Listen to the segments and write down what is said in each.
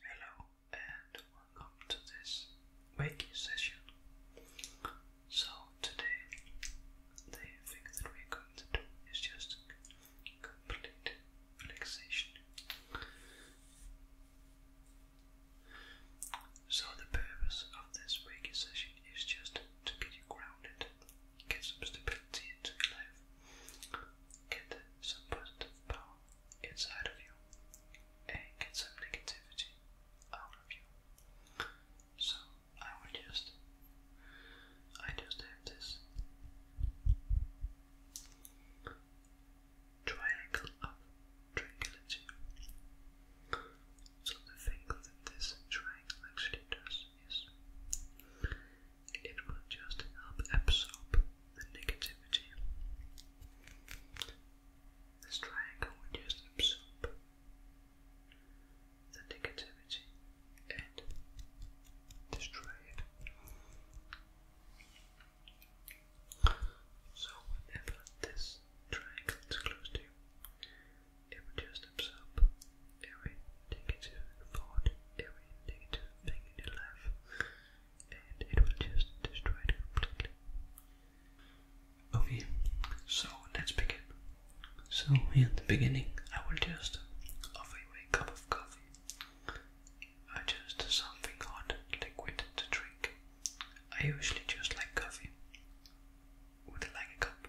Hello and welcome to this Reiki session. So today the thing that we're going to do is just complete relaxation. So the purpose of this Reiki session is just to get you grounded, get some stability into your life get some positive power inside of you and get some negativity out of you. So I will just, I just have this triangle of tranquility. So the thing that this triangle actually does is it will just help absorb the negativity. This triangle will just absorb the negativity and destroy it. So whenever this triangle is close to you, it will just absorb every negative thought, every negative thing in your life, and it will just destroy it completely. Okay, so let's begin. So, in the beginning, I will just offer you a cup of coffee, or just something hot, liquid to drink. I usually just like coffee. Would you like a cup?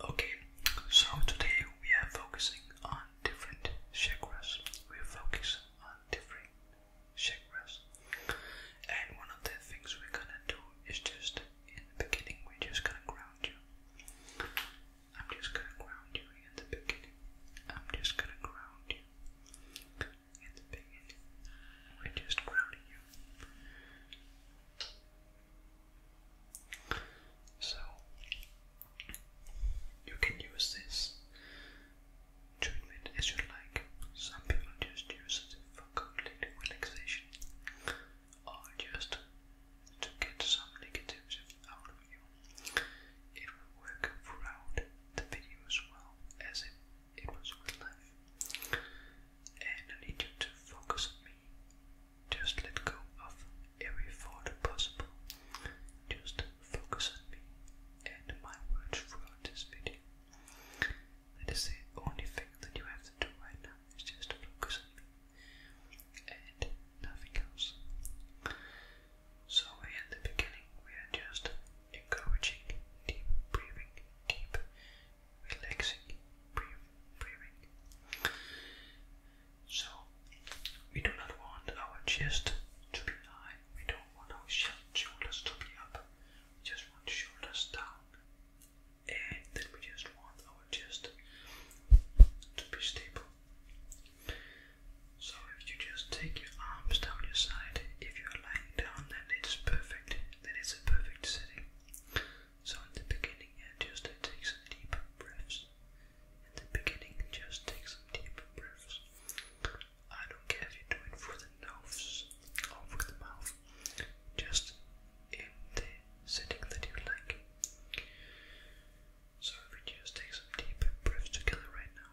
Okay, so today we are focusing on different chakras. We are focusing on different chakras, and one of the things we're gonna do is just in the beginning, we're just gonna ground you. I'm just gonna ground you in the beginning. I'm just gonna ground you and the pain just ground you. So you can use this treatment as you like. Some people just use it for complete relaxation or just to get some negatives out of you. It will work throughout the video well as it impossible life. And I need you to focus on me. Just let go of every thought possible. Just focus on me and my words throughout this video. That is the only thing that you have to do right now is just focus on me and nothing else. So at the beginning we are just encouraging deep breathing, deep relaxing breathing. So, we do not want our chest to be high, we don't want our shoulders to be up, we just want shoulders down, and then we just want our chest to be stable. So, if you just take your arms down your side, if you are lying down, then it's perfect then a perfect setting. So in the beginning, yeah, just take some deep breaths. In the beginning, just take some deep breaths. I don't care if you do it through the nose or through the mouth. Just in the setting that you like. So we just take some deep breaths together right now.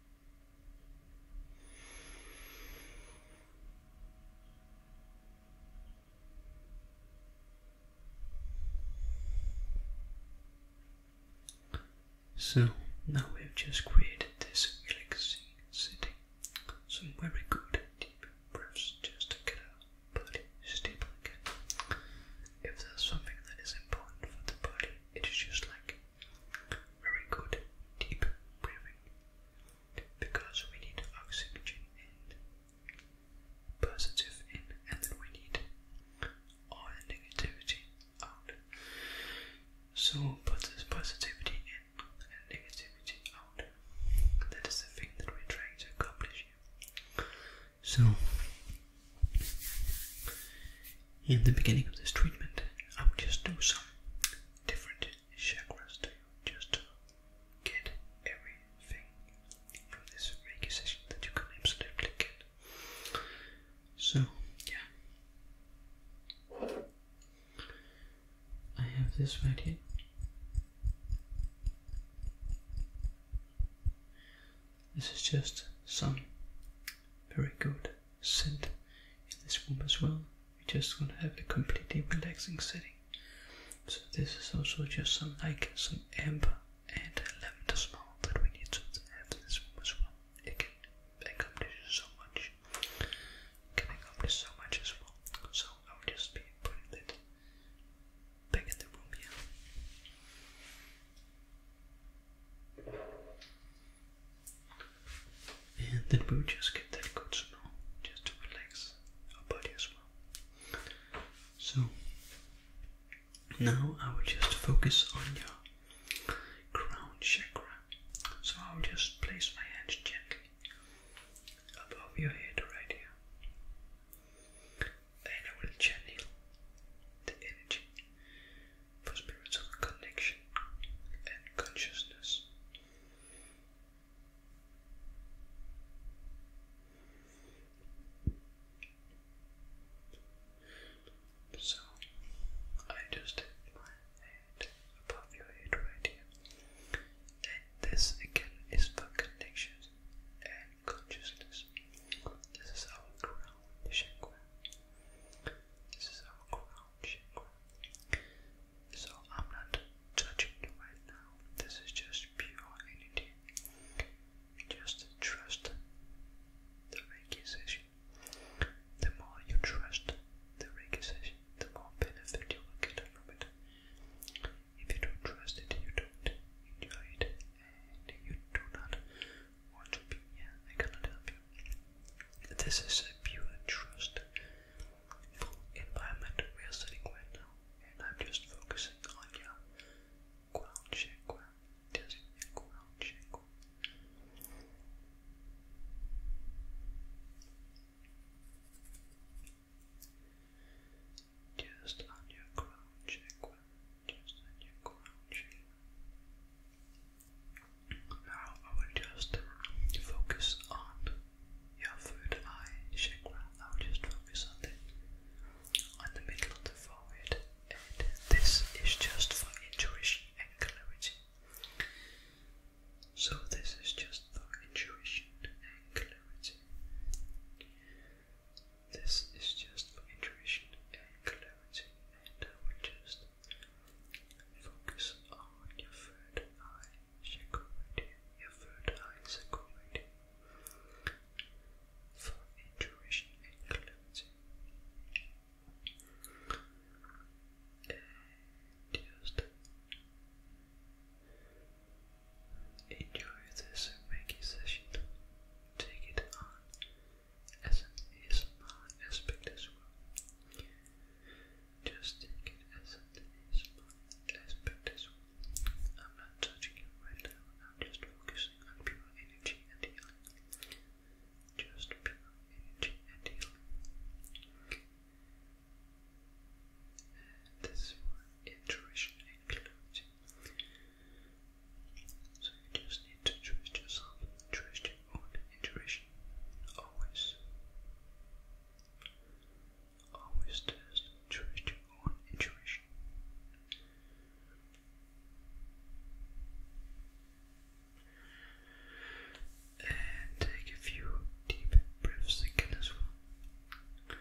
So now we've just created this relaxing setting. Some very good deep breaths just to get our body stable again. If there's something that is important for the body, it is just like very good deep breathing because we need oxygen in, positive in, and we need all negativity out. So put positivity in and negativity out. That is the thing that we're to accomplish So in the beginning of this treatment, I'll just do some different chakras to you just to get everything from this Reiki session that you can absolutely get. So, yeah. I have this right here. This is just some very good set in this room as well. we just want to have a completely relaxing setting. So this is also just some like some amber and lavender smell that we need to have in this room as well. It can accomplish so much. It can accomplish so much as well. So I'll just be putting that back in the room here and then we'll just get that good smell just to relax our body as well. So now I will just focus on your crown chakra. So I will just place my hands gently above your head right here, and I will channel the energy for spiritual connection and consciousness. So I just have my hand above your head right here. And this again is for connections and consciousness. This is our crown, This is our crown crown So I'm not touching it right now. This is just pure energy. Just trust the Reiki The more you trust the Reiki the more benefit you will get from it. If you don't trust it, you don't enjoy it, and you do not or to be, yeah, I cannot help you. This is a pure trust environment we are studying right now, and I'm just focusing on you. ground chakra. Just your ground chakra. Just on your ground chakra. Just on your ground chakra. Now I will just focus on your third eye chakra. I will just focus on the on the middle of the forehead, and this is just for intuition and clarity. So this is just for intuition and clarity. This is just for intuition and clarity, and I will just Focus on your third eye chakra. Your third eye chakra for intuition and just enjoy this Reiki session. Take it on as an ASMR aspect Just take it as an ASMR I'm not touching you right now, I'm just focusing on pure energy and healing. Just pure energy and healing. this one, intuition and So you just need to trust yourself, trust your own intuition. Always. Always trust intuition. And take a few deep breaths again as well.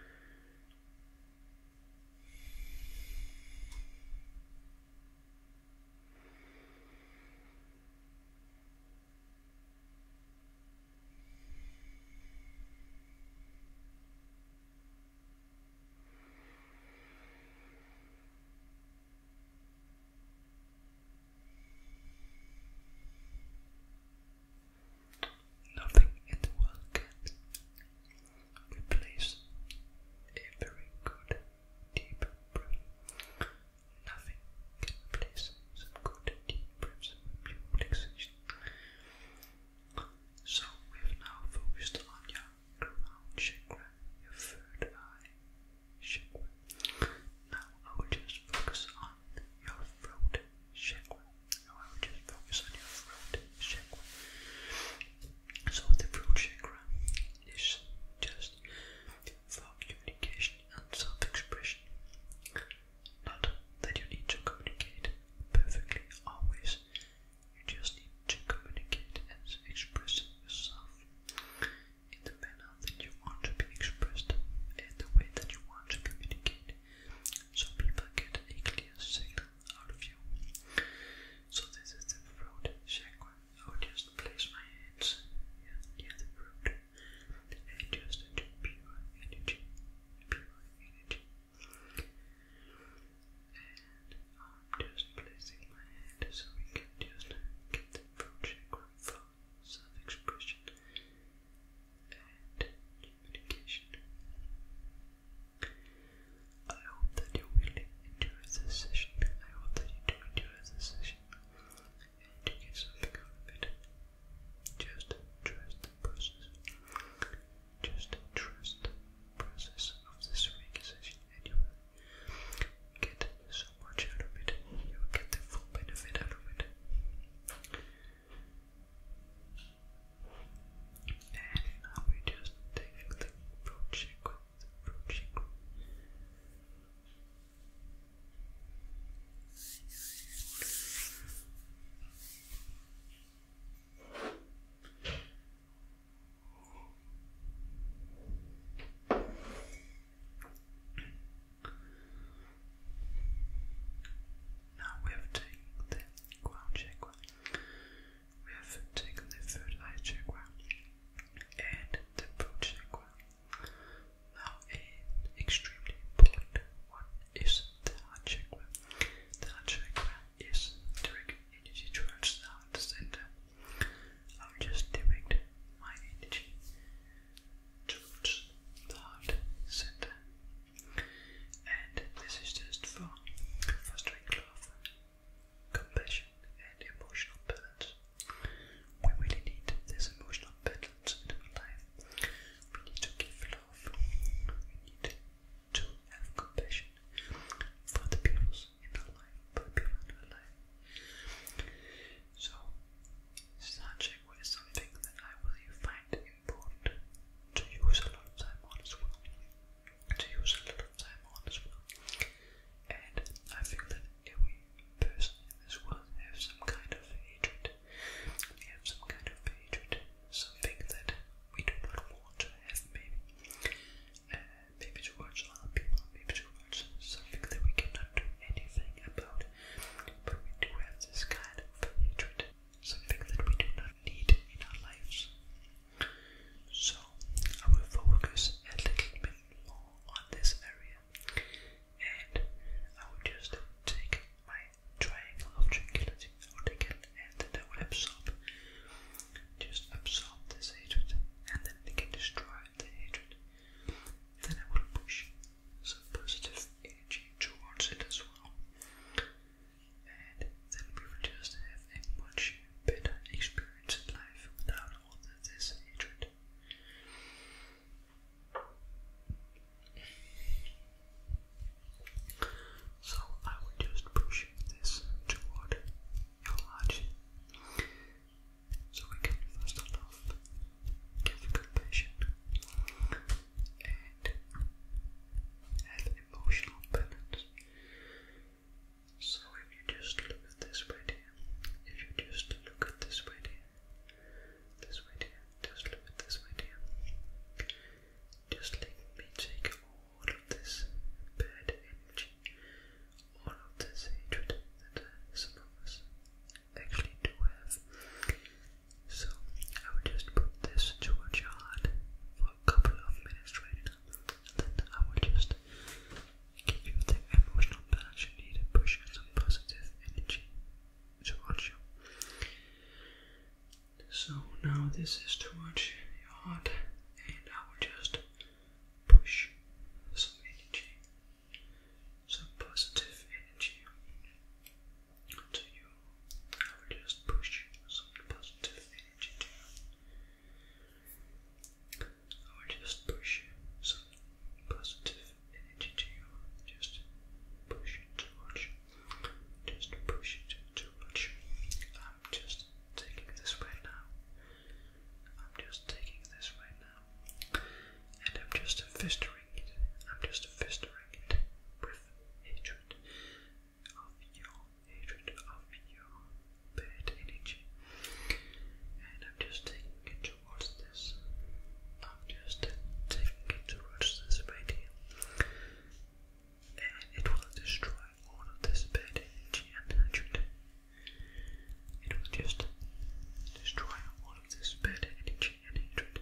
Nothing in the world can replace a very good deep breath. Nothing can replace some good deep breaths So we've now focused on your crown chakra, your third eye chakra. Now I will just focus on your throat chakra. Now I will just focus on your throat chakra. So the root chakra is just for communication and self-expression. Not that you need to communicate perfectly always. You just need to communicate and express yourself in the manner that you want to be expressed and the way that you want to communicate. So people get a clear signal out of you. So this is the throat chakra. I just place my hands near the root and just into pure energy, pure energy. And I'm just placing my hand so we can just get the root chakra for self-expression and communication. I hope that you really enjoy this session. I hope that you do enjoy this session. And you get something out of it. Just trust the process. Just trust the process of this relaxation and you will get so much out of it. You will get the full benefit out of it. And now we just take the approach it's approaching. Now we have taken the ground check we have taken the third eye chakra and the root chakra. Now, extremely important one the heart chakra. The heart chakra is direct energy towards the heart center. I will just direct my energy towards the heart center. And this is just for fostering love, compassion, and emotional balance. We really need this emotional balance in our life. We need to give love. We need to have compassion for the people in our life, for the people in our life. So, sound check was something that I really find important to use a lot of time on as well to use a little time on as well. And I think that every person in this world has some kind of hatred. We have some kind of hatred, something that we do not want to have, maybe. Uh, maybe towards other people, maybe towards something that we cannot do anything about. But we do have this kind of hatred, something that we do not need in our lives. So I will focus a little bit more on this area and I will just take my triangle of tranquility or take it and then I will absorb just absorb this hatred and then they can destroy the hatred. Then I will push some positive energy towards it as well. And then we will just have a much better experience in life without all of hatred. So I would just push this toward your heart. So we can first start give compassion and have emotional balance. So if you just look at this way here, if you just look at this right here, this right here, just look at this right here. Just let me take all of this bad energy, all of this hatred that uh, some of us actually do have. So I will just put this towards your heart a couple of minutes right now, and then I will just give you the emotional balance you need and push some positive energy towards you. So now this is towards your heart, and I will just push some energy, some positive energy to you. I will just push some positive energy to you. I would just push some positive energy to you. Just push it towards you. Just push it towards you. I'm just taking this way now. I'm just taking this way now. And I'm just fistering it. I'm just fistering it with hatred of your hatred of your bad energy. And I'm just taking it towards this. I'm just taking it towards this right And it will destroy all of this bad energy and hatred. It will just destroy all of this bad energy and hatred.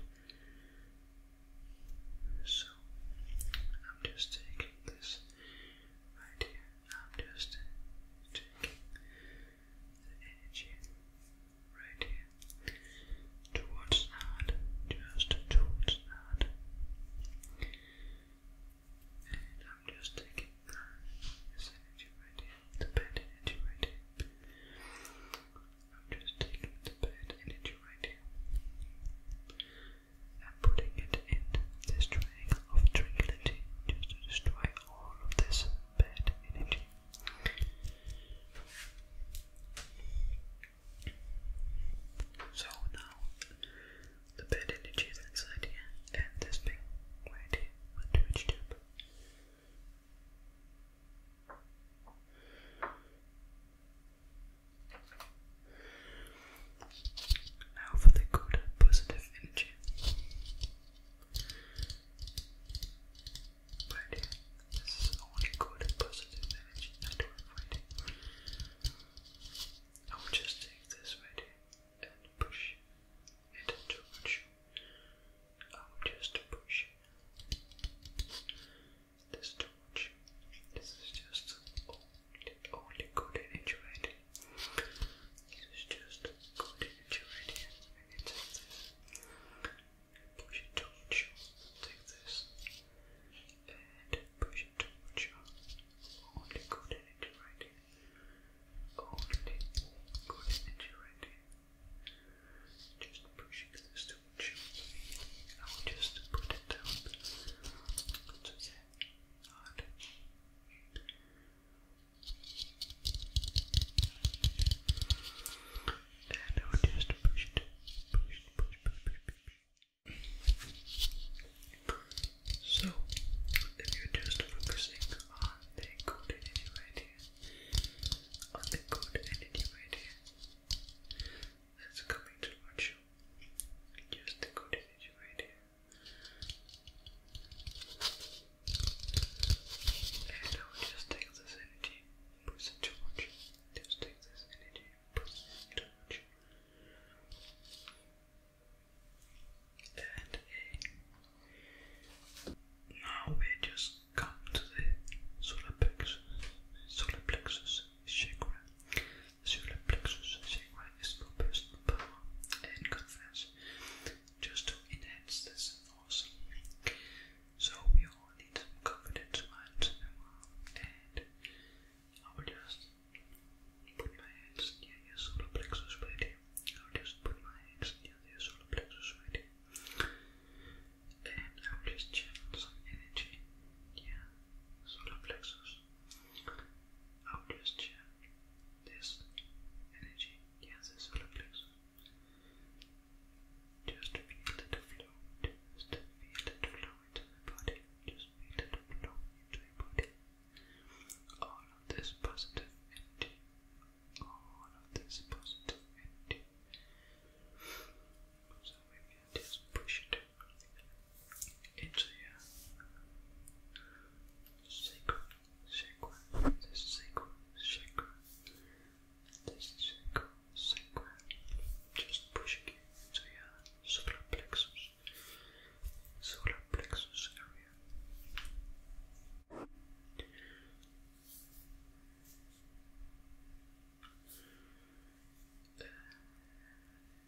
So I'm just taking this right here I'm just taking the energy right here towards that, just towards that. And I'm just taking this energy right here, the bad energy right here. I'm just taking the bad energy right here and putting it in this triangle of tranquility just to destroy all of this bad energy. So now the bad energy is inside here and this big right here do its job. Now for the good positive energy. Right here. This is only good positive energy I do just take this right here and push it towards you. I will just push this towards This is just all only good and enjoyed. just good and push it towards you, take this, and push it towards you. Only good and Only good and enjoyed. Just pushing this towards you. I will just put it down. So Odd. So, if you're just focusing on the good energy right here, on the good energy right here, that's coming towards you. Just the good energy right here. And I just take this energy push it too much. Just take this energy push it too much. And uh, now we just come to the solar plexus. Solar plexus chakra. The solar plexus chakra is for personal power and confidence. Just to enhance this, force. So we all need some confidence once in a while, and I will just put my hands near your solar plexus right here. I will just put my hands near your solar plexus right here. And I will just channel some energy. Yeah, solar plexus. I'll just check this energy. Yes, it's solar plexus. Just feel it flow. Just feel it flow into the body. Just feel it flow into your body. All of this positive energy. All of this positive energy just push it into your sacrum, sacrum, sacrum, sacrum, sacrum, sacrum. Just pushing it into your solar plexus, solar plexus area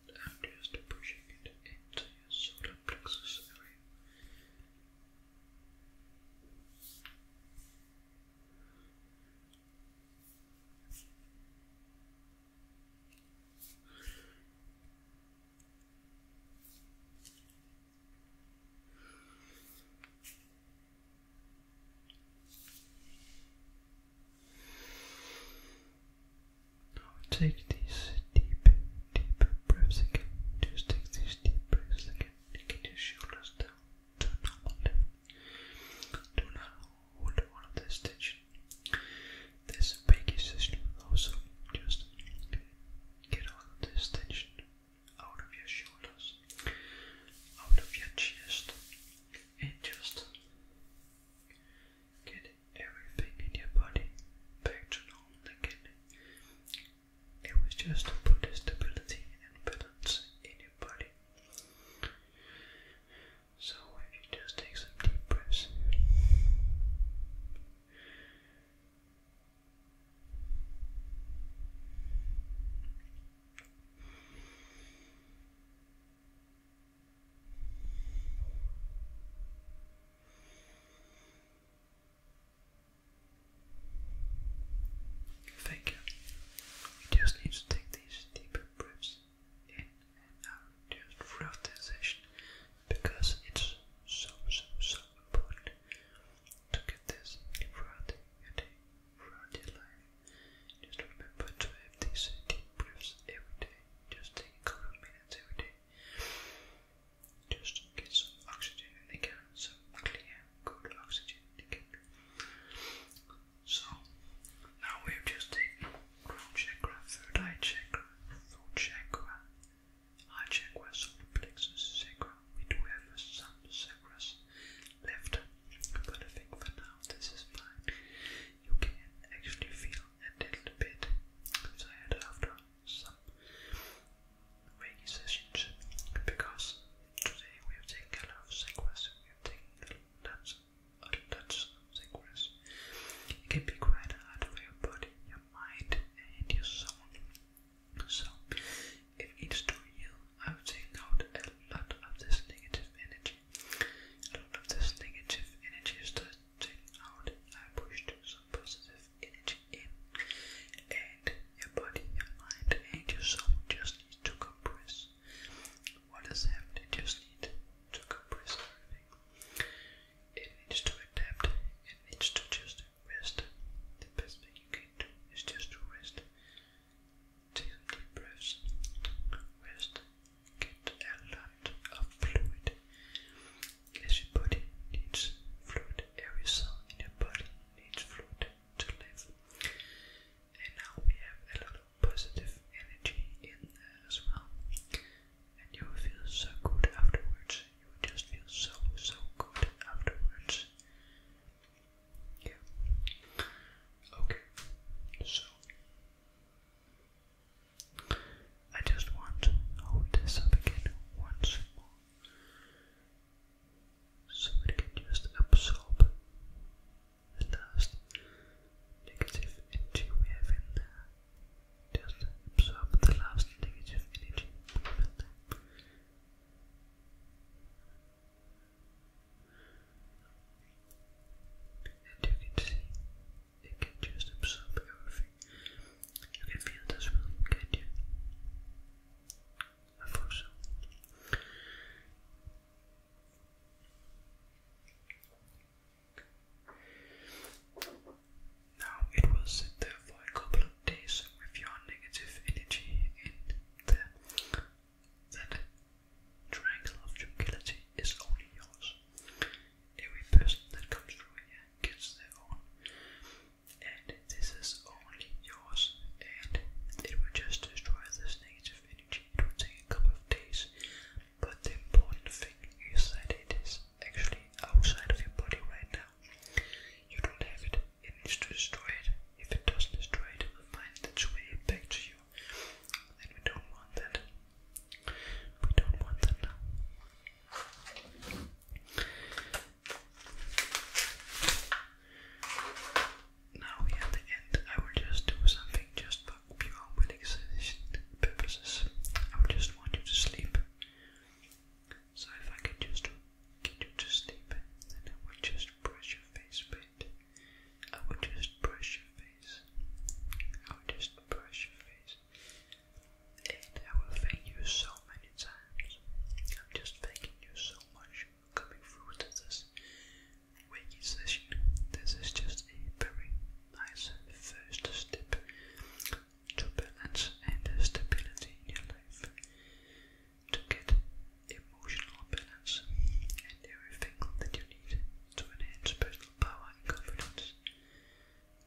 and I'm just pushing it into your solar plexus area. Now take these deep, deep breaths again. Just take these deep breaths again. Take your shoulders down to Do not hold all of this tension. This Reiki session also just get all this tension out of your shoulders, out of your chest, and just get get everything in your body back to normal again. It was just to put stability and balance in your body. So if you just take some deep breaths. Thank you. We just need to take these deeper breaths in and out just throughout the session because it's so, so, so important to get this throughout your day, throughout your life. Just remember to have these deep breaths every day. Just take a couple minutes every day. Just get some oxygen in the some clear, good oxygen in the So, now we've just taken crown chakra, third eye chakra, throat chakra, heart chakra, solar plexus chakra. We do have some chakras left, but I think for now this is fine you can actually feel a little bit tired after some Reiki sessions because today we have taken a lot of sequence, we have taken lots of lots of sequence. It can be quite hard for your body, your mind and your soul. So if it's to you, I've taken out a lot of this negative energy. A lot of this negative energy is starting out. I pushed some positive energy in, and your body, your mind, and your soul just need to compress. What has just needs to compress It needs to adapt. It needs to just rest. The best thing you can do is just to rest. Take some deep breaths. Rest get a lot fluid as your body needs fluid, every cell in your body needs fluid to live and now we have a lot positive energy in as well and you will feel so good afterwards, you will just feel so so good afterwards yeah. Okay, so I just want to hold this up again once more so it can just absorb the last negative energy Just absorb the last negative energy and you can see it can just absorb everything. You can feel the smell, can't you? I thought Now it will sit there for a couple of days with your negative energy in the that triangle of tranquility is only yours. Every person that comes through here gets their own, and this is only yours. And it will just destroy this negative energy. It will take a couple of days, but the important thing is that it is actually outside of your body right now. You don't have it. It needs to destroy it. If it doesn't destroy it, it will find its way back to you then we don't want that. We don't want that now. Now we at the end, I will just do something just for pure relaxation purposes. I will just want you to sleep. So if I can just get you to sleep, then I will just brush your face a I would just brush your face. I would just brush your face. And I will thank you so many times. I'm just thanking you so much for coming through to this waking session. This is just a very nice first step to balance and stability in your life. To get emotional balance and everything that you need to enhance personal power and confidence.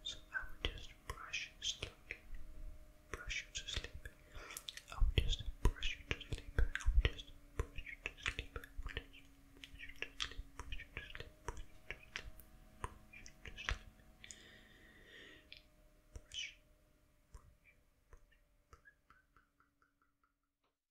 So I would just brush you slowly, brush you to sleep. I would just brush you to sleep. I would just brush you to sleep. I would just brush you to sleep. Brush you to sleep. Brush you to sleep. Brush you to sleep.